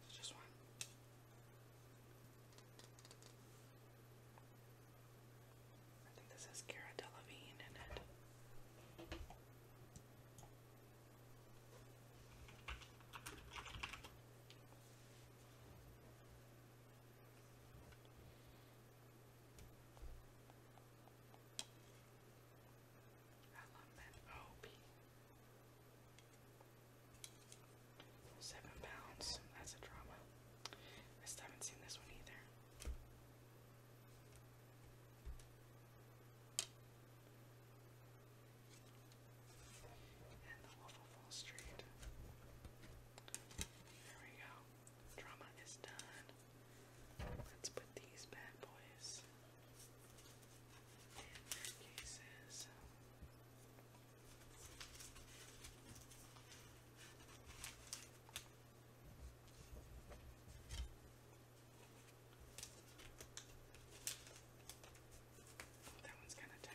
just one. I think this has Cara Delevingne in it. I love that OP. Seven pounds. That's a drama. I still haven't seen this one either. And the Wolf of Street. There we go. Drama is done. Let's put these bad boys in their cases. That one's kind of tight.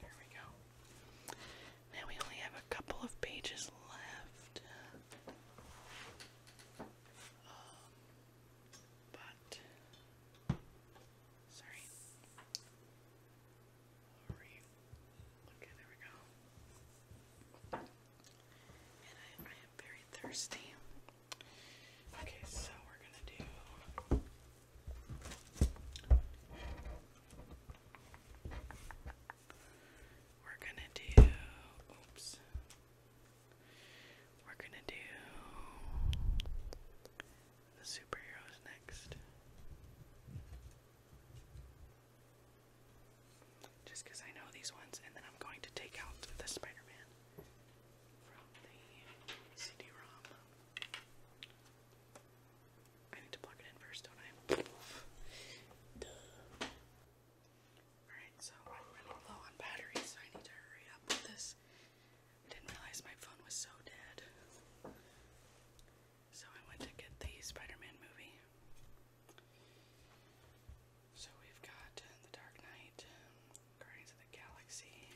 There we go. Now we only have a couple of pages left. Um, but sorry okay, there we go. And I am very thirsty. Okay, so we're gonna do. We're gonna do. Oops. We're gonna do the superheroes next. Just I know these ones, and then I'm going to take out the Spider Man from the CD ROM. I need to plug it in first, don't I? Alright, so I'm running low on batteries, so I need to hurry up with this. I didn't realize my phone was so dead. So I went to get the Spider-Man movie. So we've got The Dark Knight, Guardians of the Galaxy,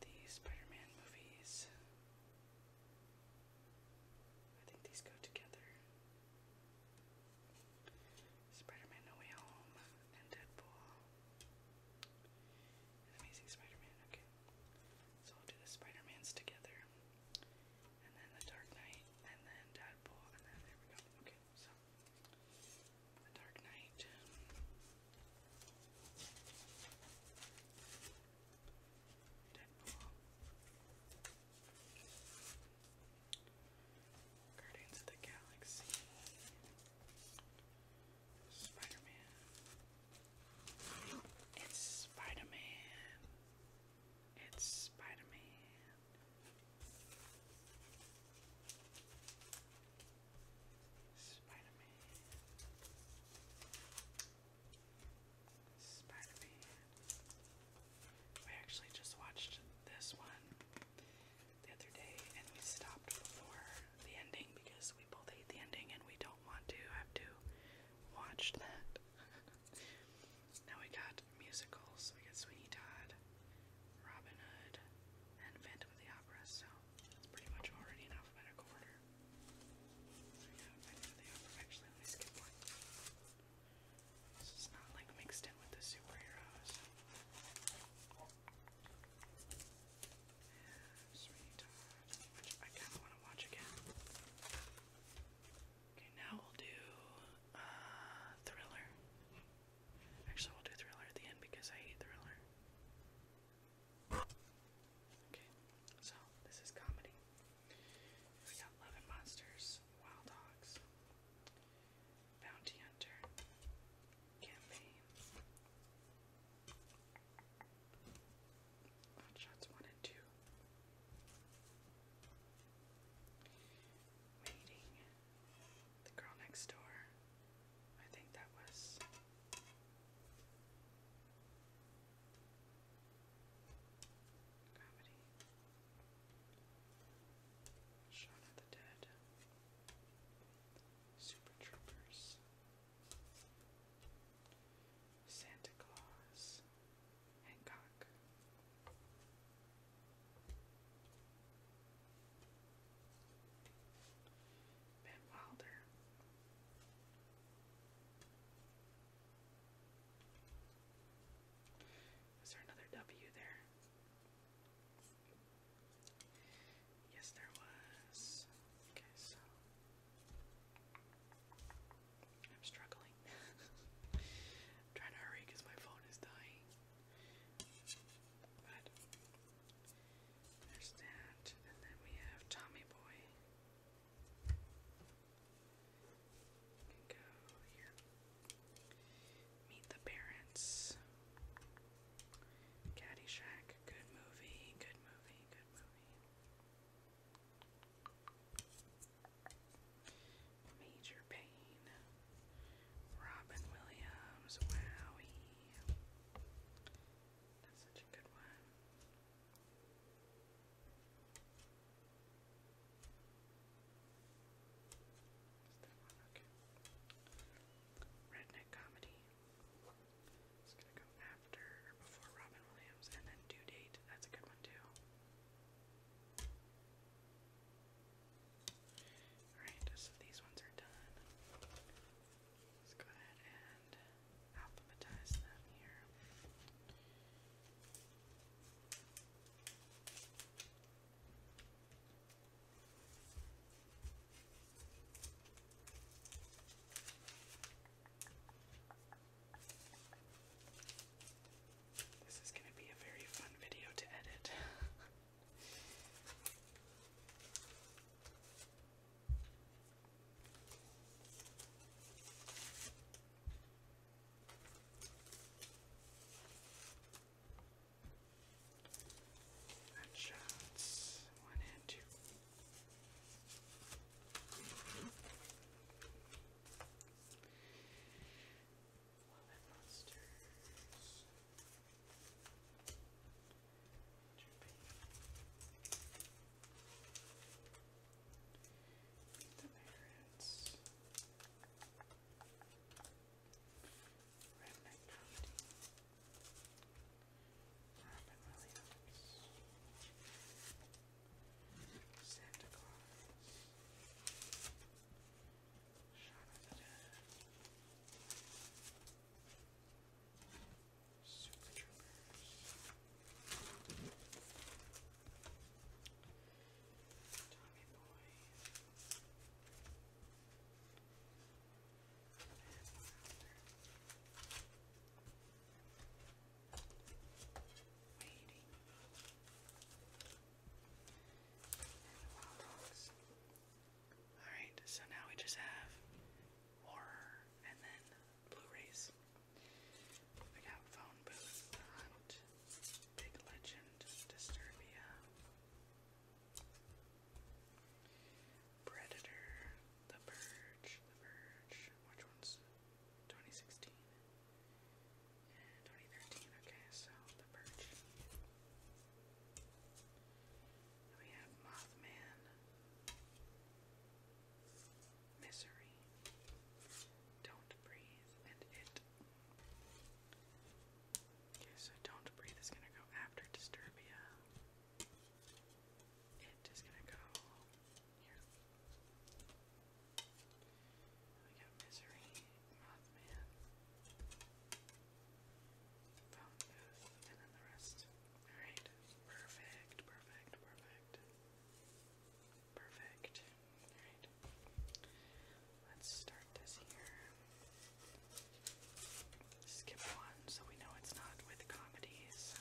the Spider-Man movies. I think these go together. Spider-Man No Way Home and Deadpool. Amazing Spider-Man, okay. So I'll do the Spider-Mans together and then The Dark Knight, and then Deadpool, and then there we go. Okay, so The Dark Knight. Deadpool. Guardians of the Galaxy. Spider-Man. It's Spider-Man. It's Spider Man. Spider Man. Spider Man. We actually just watched this one the other day and we stopped before the ending because we both hate the ending and we don't want to have to watch that. Now we got musicals. We got Sweeney Todd, Robin Hood, and Phantom of the Opera. So it's pretty much already in alphabetical order. So yeah, Phantom of the Opera. Actually, let me skip one. So it's not like mixed in with the superheroes. Sweeney Todd, which I kind of want to watch again. Okay, now we'll do uh, Thriller. Actually, we'll do Thriller at the end because I hate Thriller. Okay, so this is comedy. We got Love and Monsters, Wild Dogs, Bounty Hunter, Campaign, on one and two. Waiting. The girl next door. I think that was. Comedy. Shot of the Dead. Super Troopers. Santa Claus. Hancock. Ben Wilder. Is there another W there? Yes, there was. Okay, I'm struggling. trying to hurry because my phone is dying. But and then we have Tommy Boy. go here. Meet the Parents. Caddyshack. Good movie. Good movie. Good movie. Major Pain, Robin Williams, Wowie. That's such a good one. Redneck comedy. It's gonna go after or before Robin Williams, and then due date. That's a good one too. Alright, so these ones are done. Let's go ahead and alphabetize them here. This is going to be a very fun video to edit. and shots one and two. Love it, monsters. Dripping. Eat the merits. Redneck protein. Robin Williams. Santa Claus, Shaun of the Dead, Super Troopers, Tommy Boy, and Laughter. Alright, so now we just have horror and then Blu-rays. We got Phone Booth, Big Legend, Disturbia, Predator, The Purge, The Purge, which one's 2016? 2013, okay, so the Purge. We have Mothman, Misery, Don't Breathe, and It. Okay, so Don't Breathe is gonna go after Disturbia. It is gonna go here. We got Misery, Mothman, Phone Booth, and then the rest. Alright, perfect, perfect, perfect. Perfect. Alright. Let's start this here. Skip one so we know it's not with comedies.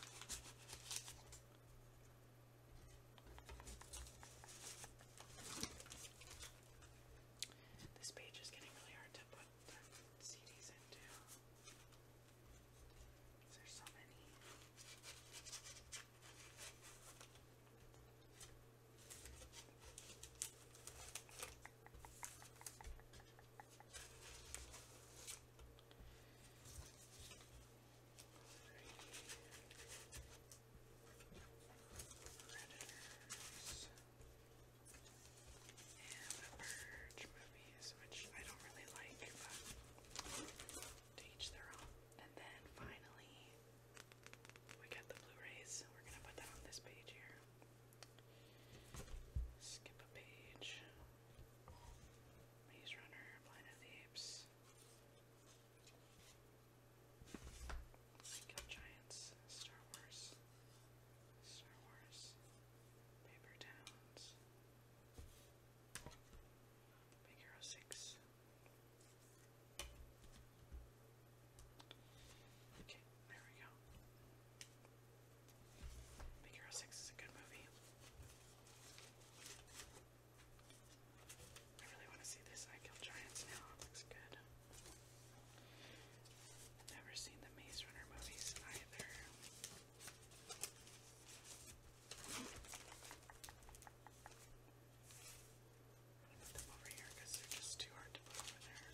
This page is getting really hard to put CDs into. There's so many. Predators and the Purge movies, which I don't really like, to each their own. And then finally, we get the Blu-rays. We're gonna put that on this page here. Skip a page. Maze Runner, Planet of the Apes. Lego Giants, Star Wars, Star Wars, Paper Towns, Big Hero 6. Okay, there we go. Big Hero 6 is a good movie. I really want to see this. I kill giants now. It looks good. I've never seen the Maze Runner movies either. I'll put them over here because they're just too hard to put over there.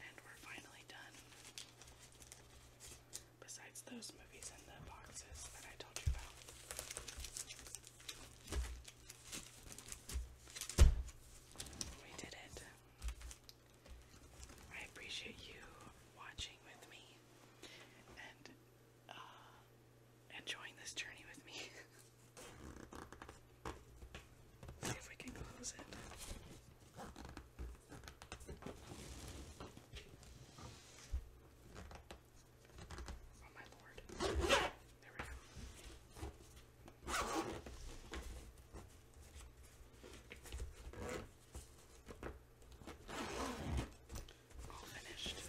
And we're finally done. Besides those movies in the boxes that I told you about. We did it. I appreciate you watching with me and uh, enjoying this journey with me. See if we can close it. Oh my lord. There we go. All finished.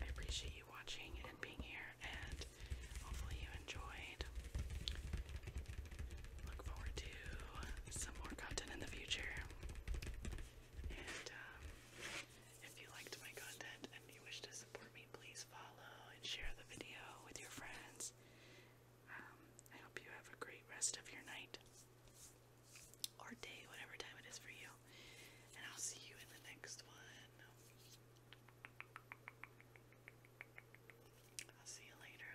I appreciate you watching and being here, and hopefully, you enjoyed. Look forward to some more content in the future. And, um, if you liked my content and you wish to support me, please follow and share the video with your friends. Um, I hope you have a great rest of your night or day, whatever time it is for you. And I'll see you in the next one. I'll see you later.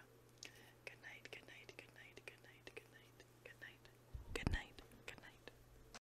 Good night, good night, good night, good night, good night, good night, good night, good night.